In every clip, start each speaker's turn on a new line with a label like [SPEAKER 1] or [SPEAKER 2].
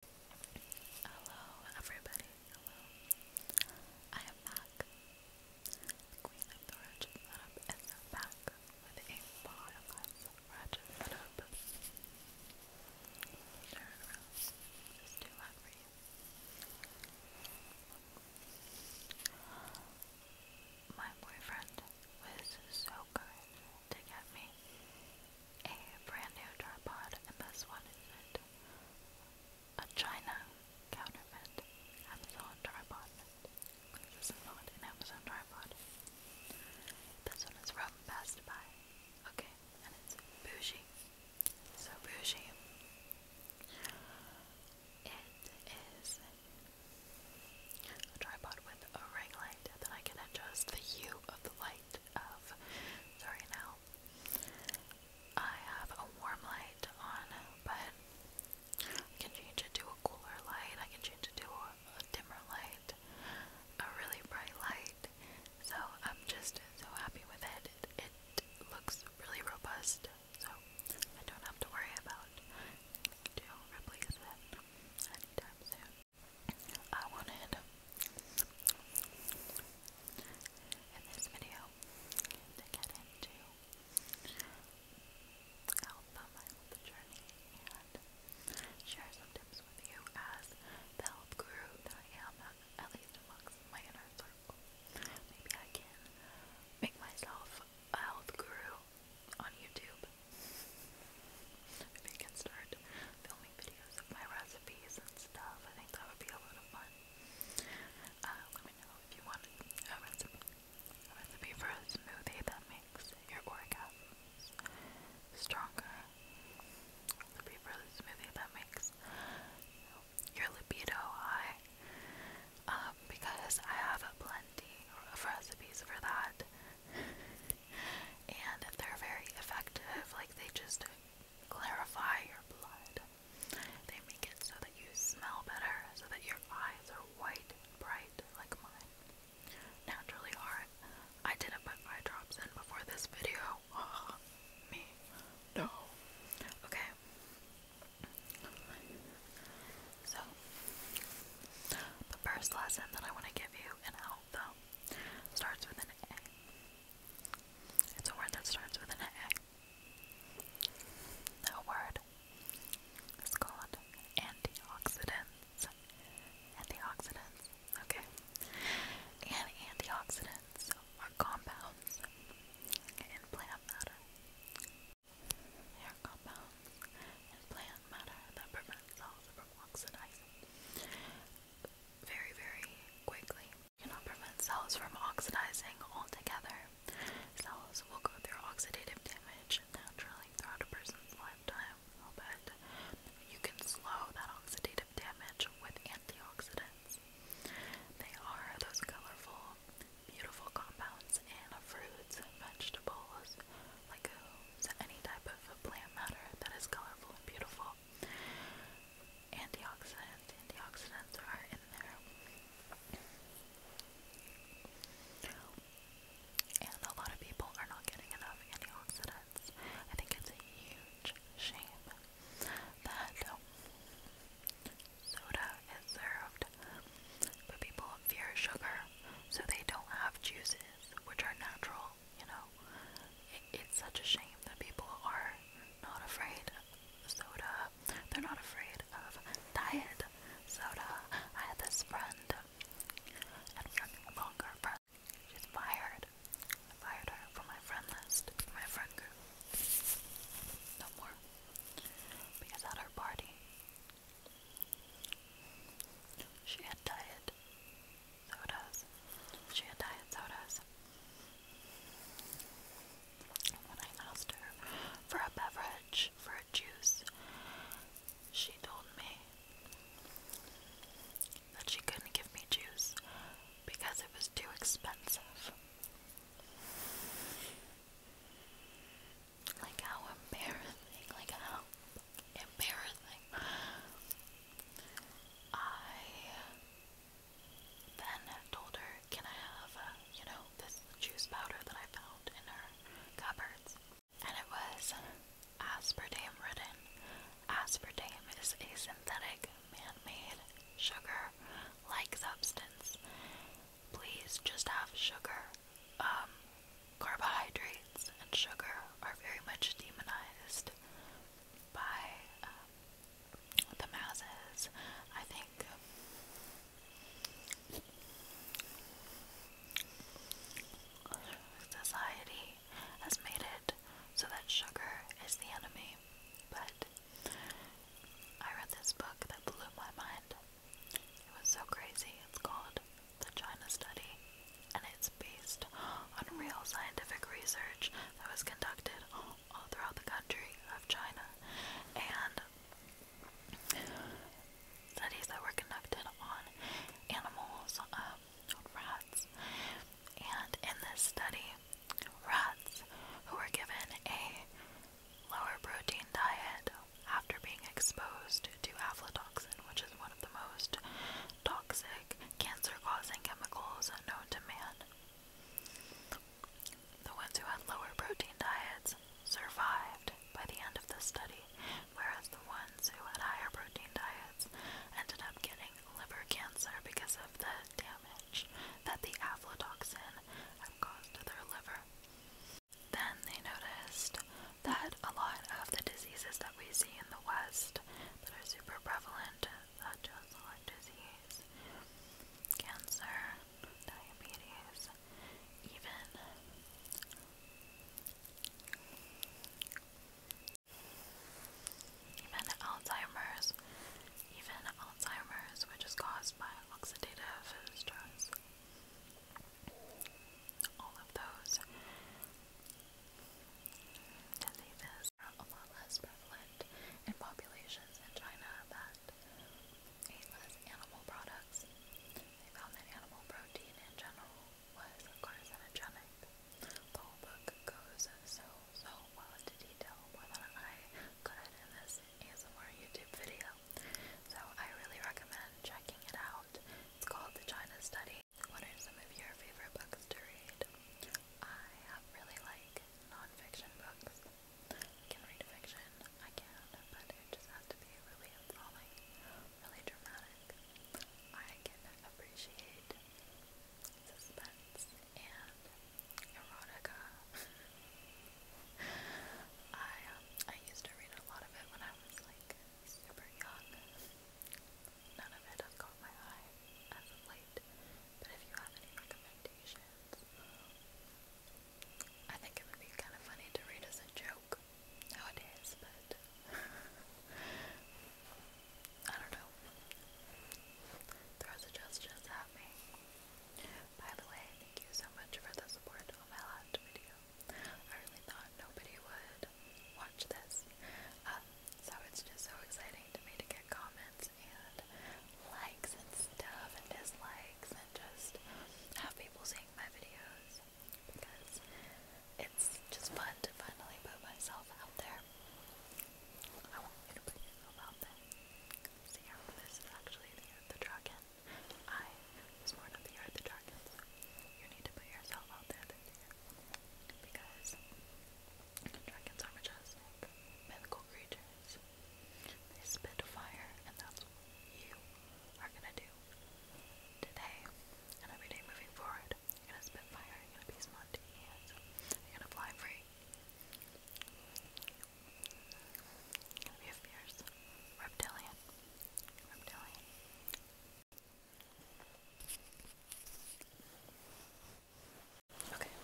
[SPEAKER 1] Hello, everybody. Hello. I am back. Queen of the Ratchet Setup is back with a bottomless ratchet setup. Turn around. Just do for you. My boyfriend was so good to get me a brand new tripod, and this one isn't. A China counterfeit Amazon tripod. This is not an Amazon tripod. This one is from Best Buy. Okay, and it's bougie. So bougie. It is a tripod with a ring light that I can adjust the hue of the light sorry now. I have a warm light on, but I can change it to a cooler light, I can change it to a, dimmer light, a really bright light. So I'm just so happy with it. it. looks really robust, so I don't have to worry about doing it anytime soon. I wanted in this video to get into Alpha My Journey and share some tips with you as the health guru at least amongst my inner circle. Maybe I can make myself a health guru on YouTube Maybe I can start filming videos of my recipes and stuff. I think that would be a lot of fun. Uh, let me know if you want a recipe, a recipe for a smoothie that makes your orgasms stronger. A recipe for a smoothie that makes your libido high. Um, because I have plenty of recipes for that and they're very effective. Like they just clarify your blood. They make it so that you smell better, so that your eyes are white and bright like mine. Naturally are I didn't put my drops in before this video. Ah, me. No. Okay. So, the first lesson that I want to give you and help though Starts with an A. It's a word that starts with an A. That word is called antioxidants. Antioxidants, okay. And antioxidants are compounds in plant matter. compounds in plant matter that prevents all from oxidizing very, very quickly. You cannot prevent cells from oxidizing altogether. Cells will go through oxidative damage naturally throughout a person's lifetime, but you can slow that oxidative damage with antioxidants. They are those colorful, beautiful compounds in fruits and vegetables, legumes, uh, any type of plant matter that is colorful and beautiful. Antioxidants, antioxidants are in there. And a lot of people are not getting enough antioxidants. I think it's a huge shame that soda is served, but people people fear sugar, so they don't have juices, which are natural, you know. It, it's such a shame that people are not afraid of soda, they're not afraid of diet soda. I had this friend, and friend no longer friend, she's fired. I fired her from my friend list, from my friend group. No more. Because at her party, she had diet sodas. She had diet sodas. When I asked her for a beverage, for a juice, she told me that she couldn't give me juice because it was too expensive. Like how embarrassing, like how embarrassing. I then told her, can I have, uh, you know, this juice powder that I found in her cupboards? And it was aspartame ridden. Aspartame is a synthetic, man-made sugar-like substance. Please just have sugar um, carbohydrates and sugar are very much demonized by um, the masses. I think. Society has made it so that sugar is the enemy, but I read this book that blew my mind. It was so crazy. It's called the China Study, and it's based on real scientific research that was conducted all throughout the country of China. And studies that were conducted on animals, um, rats. And in this study, rats who were given a lower protein diet after being exposed to aflatoxin, which is one of the most toxic cancer causing chemicals known to man. The ones who had lower protein diets survived by the end of the study, whereas the ones who had higher protein diets ended up getting liver cancer because of the damage that the aflatoxin caused to their liver. Then they noticed that a lot of the diseases that we see in the West that are super prevalent, such as heart disease, cancer, diabetes, even even Alzheimer's, even Alzheimer's, which is caused by oxidative stress all of those diseases are a lot less prevalent in populations in China that ate less animal products. They found that animal protein in general was carcinogenic. The whole book goes so, so well into detail, more I could in this ASMR YouTube video. So I really recommend checking it out. It's called The China Study. What are some of your favorite books to read? I really like nonfiction books. I can read fiction, I can, but it just has to be really enthralling, really dramatic. I can appreciate suspense and erotica. I um, I used to read a lot of it when I was like super young. None of it has caught my eye as of late. But if you have any recommendations, I think it would be kind of funny to read as a joke nowadays. But I don't know. Throw suggestions at me. By the way, thank you so much for the support of my last video. I really thought nobody would watch this. Um, so it's just so exciting to me to get comments and likes and stuff and dislikes and just have people seeing my videos because it's just fun to finally put myself out there. I want you to put yourself out there. See how this is actually the, the dragon. I was born of the year the dragons. You need to put yourself out there Because dragons are majestic, mythical creatures. They spit fire, and that's what you are gonna do today and every day moving forward. You're gonna spit fire, you're gonna be spontaneous, you're gonna fly free. Reptilian. Okay,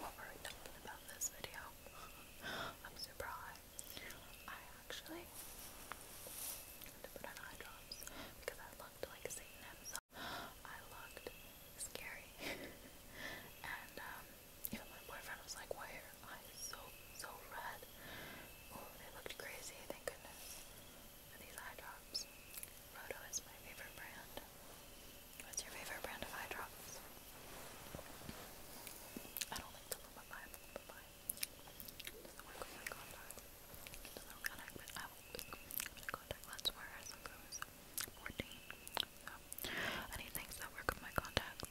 [SPEAKER 1] what were we talking about this video? I'm super high. I actually had to put on eye drops because I looked like Satan himself. I looked scary. and um, even my boyfriend was like, why are eyes so, so red? Oh, they looked crazy, thank goodness. For these eye drops. Roto is my favorite brand. What's your favorite brand of eye drops? I don't like to look at my eye, but my doesn't work with my contact. Doesn't work with my contact lens wearers since I was 14. So, anything that work with my contacts.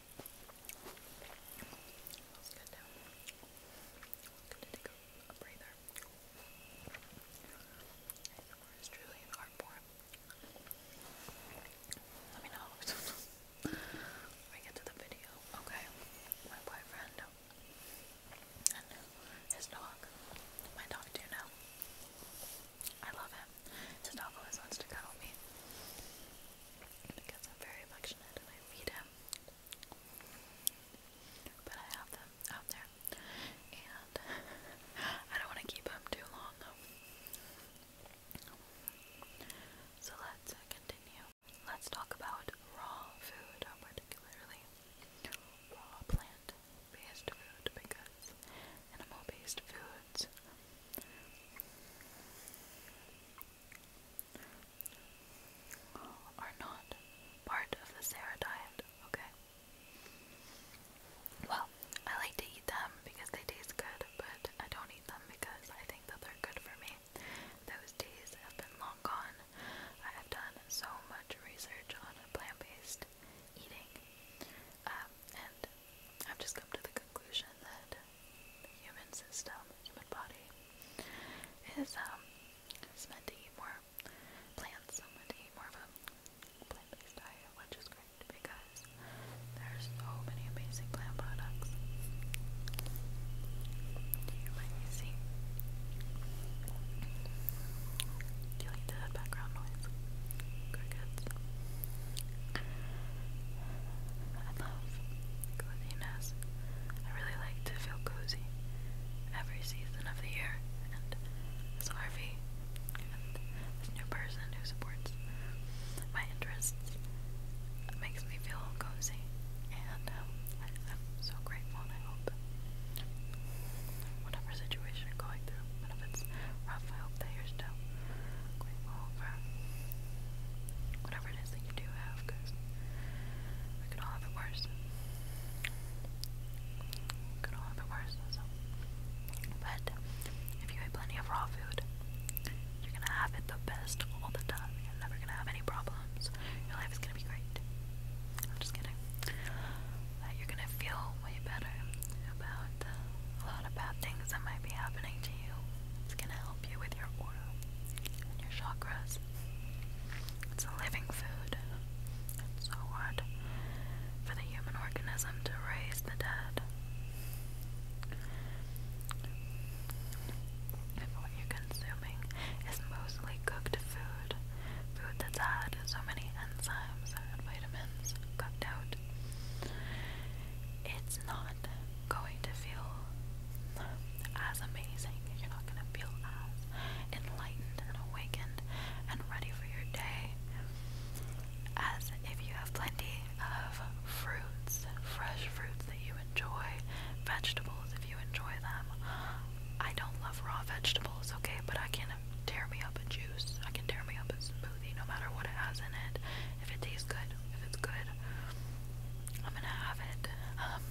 [SPEAKER 1] Smells good now. Good to take a, breather. It's truly an Let me know when get to the video. Okay, my boyfriend and his dog. My dog too now. I love him time. Sid always wants to cuddle me because I'm very affectionate and I feed him. But I have them out there, and I don't want to keep them too long though. So let's uh, continue. Let's talk about raw food, uh, particularly raw plant based food, because animal based foods are not part of the Sarah diet, okay? Well, I like to eat them because they taste good, but I don't eat them because I think that they're good for me. Those days have been long gone. I have done so much research on plant based eating. Um, and I've just come to the conclusion that the human system, human body, is um is meant to eat more plants. I'm meant to eat more of a plant-based diet, which is great because there's so many amazing plant products. Do you like me see? Do you like the background noise? Crickets. I love coziness. I really like to feel cozy every season of the year. this RV and this new person who supports my interests makes me feel cozy. And um, I, am so grateful I hope whatever situation going through, but if it's rough, I hope that you're whatever it is that you do have, because we could all have it worse. We could all have it worse, so. But if you eat plenty of raw food, you're gonna have it the best all the time. You're never gonna have any problems. Your life is gonna be great. am just you're gonna feel way better about uh, a lot about things that might be happening to you. It's gonna help you with your aura and your chakras. It's a living food. It's so hard for the human organism to raise the dead. If what you're consuming is mostly cooked food, food that's had so many enzymes and vitamins cooked out, it's not going to feel as amazing. You're not going to feel as enlightened and awakened and ready for your day as if you have plenty of fruits, fresh fruits that you enjoy, vegetables if you enjoy them. I don't love raw vegetables, okay, but I can not tear me up a juice. I can tear me up a smoothie, no matter what it has in it. If it tastes good, if it's good, I'm gonna have it. Um,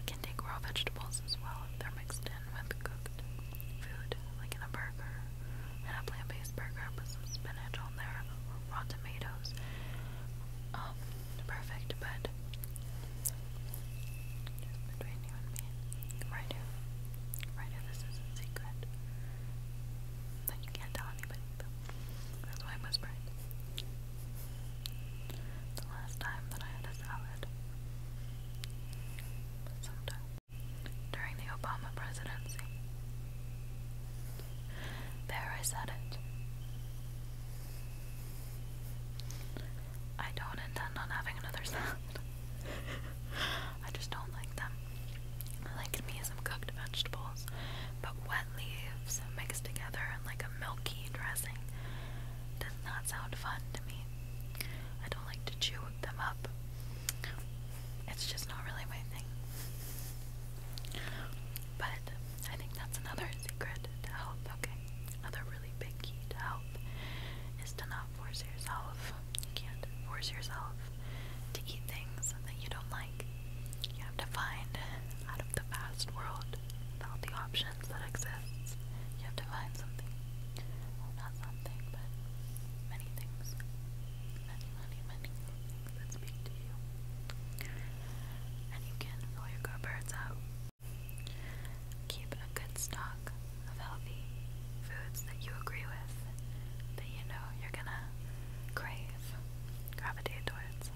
[SPEAKER 1] I can take raw vegetables as well if they're mixed in with cooked food, like in a burger, in a plant-based burger. with some spinach on there, raw tomatoes. Um, perfect, but between you and me, Writer. Writer, this is a secret. That you can't tell anybody. That's why I'm whispering. The last time that I had a salad. Sometime. During the Obama presidency. There, I said it. I don't intend on having another salad. I just don't like them. I like me some cooked vegetables, but wet leaves mixed together in like a milky dressing does not sound fun to me. I don't like to chew them up. It's just not really my thing. But I think that's another secret to health, okay? Another really big key to health is to not cannot force yourself. You can't force yourself to eat things that you don't like. You have to find out of the fast world all the options that exist. You have to find something. Well, not something, but many things. Many, many, many things that speak to you. And you can fill your cupboards out. Keep a good stock of healthy foods that you agree with, that you know you're gonna crave, gravitate towards.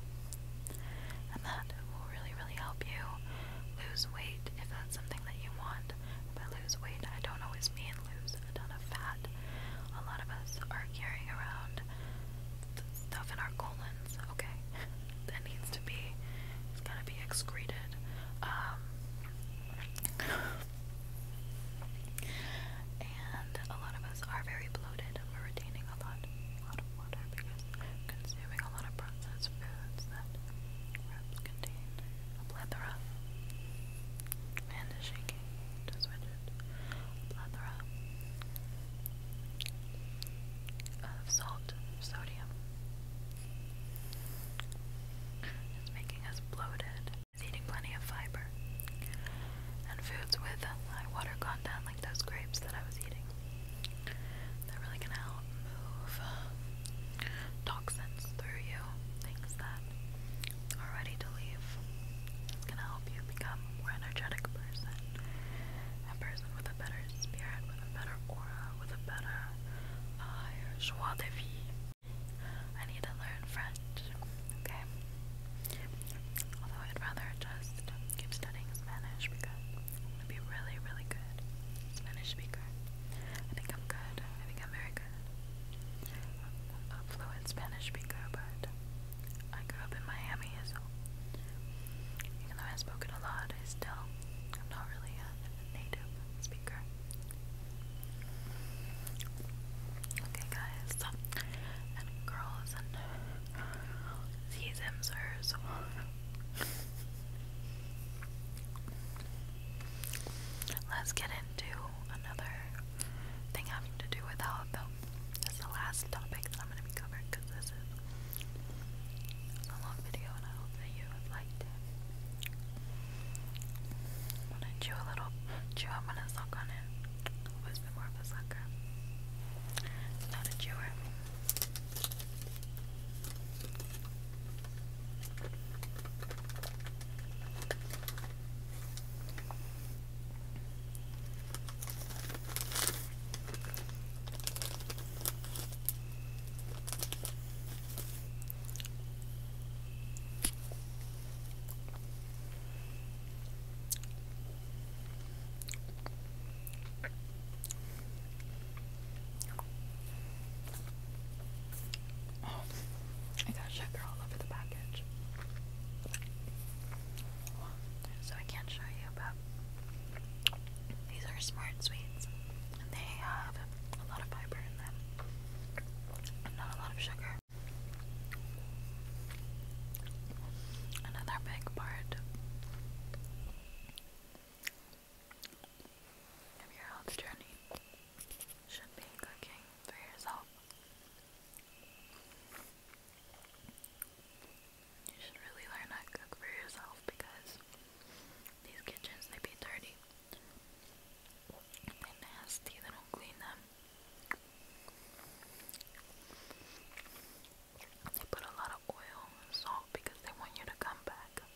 [SPEAKER 1] And that will really, really help you lose weight if that's something that you want. By lose weight, I don't always mean lose a ton of fat. A lot of us are carrying around stuff in our colons, okay? that needs to be, it's gotta be excreted. Um, and a lot of us are very bloated we're retaining a lot, a lot of water because consuming a lot of processed foods that perhaps contain a plethora and is shaking of salt, sodium, it's making us bloated. eating plenty of fiber. And foods with high water content, like those grapes that I was eating. they really going help move toxins through you, things that are ready to leave. It's gonna help you become more energetic person, a person with a better spirit, a better aura, with a better, higher uh, joie de I need to learn French, okay? Although I'd rather just keep studying Spanish because I'm going really, really good Spanish speaker. I think I'm good. I think I'm very good. I'm a fluent Spanish speaker, but I grew up in Miami, so even I spoke it a lot, I still I'm not really a native Bluetooth speaker. Okay, guys, and girls, and he's Let's get into another thing having to do with health. This the last topic I'm going to be covering because this is it's a long video and I hope that you have liked it. I'm gonna chew a little chew, I'm gonna suck on it. I was more of a sucker. Not a chewer. I got sugar all over the package. So I can't show you, but these are smart sweets and they have a lot of fiber in them not a lot of sugar. Another big part of your health journey should be cooking for yourself. You should really learn how to cook for yourself because these kitchens, they be dirty. They're nasty, they don't clean them. They put a lot of oil and salt because they want you to come back.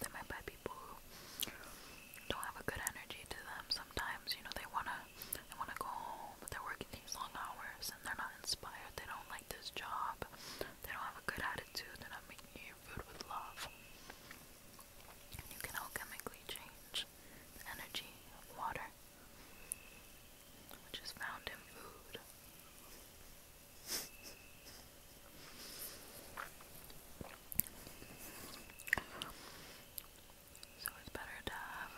[SPEAKER 1] There might be people who don't have a good energy to them sometimes. You know, they wanna they wanna go home, but they're working these long hours they're not inspired, they don't like this job, they don't have a good attitude, they're not making your food with love. You can alchemically change the energy of water, which is found in food. So it's better to have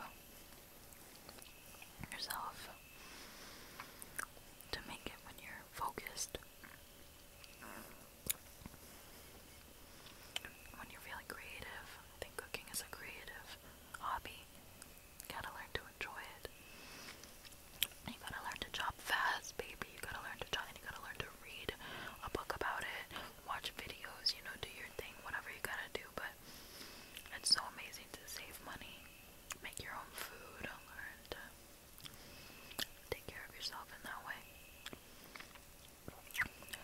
[SPEAKER 1] yourself to make it when you're focused. When you're feeling creative, I think cooking is a creative hobby. You gotta learn to enjoy it. You gotta learn to chop fast, baby. You gotta learn to chop, and you gotta learn to read a book about it, watch videos, you know, do your thing, whatever you gotta do. But it's so amazing to save money, make your own food, and take care of yourself in that way.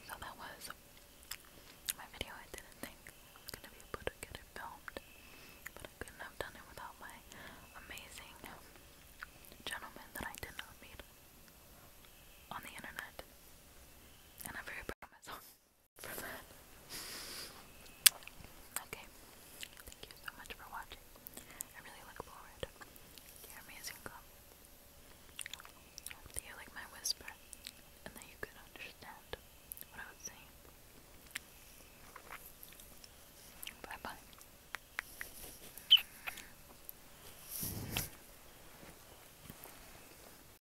[SPEAKER 1] So that was my video. I didn't think I was gonna be able to get it filmed, but I couldn't have done it without my amazing gentleman that I did not meet on the internet, and i very proud Okay. Thank you so much for watching. I really look forward to your amazing comments. Do you like my whisper? And that you could understand what I was saying. Bye bye.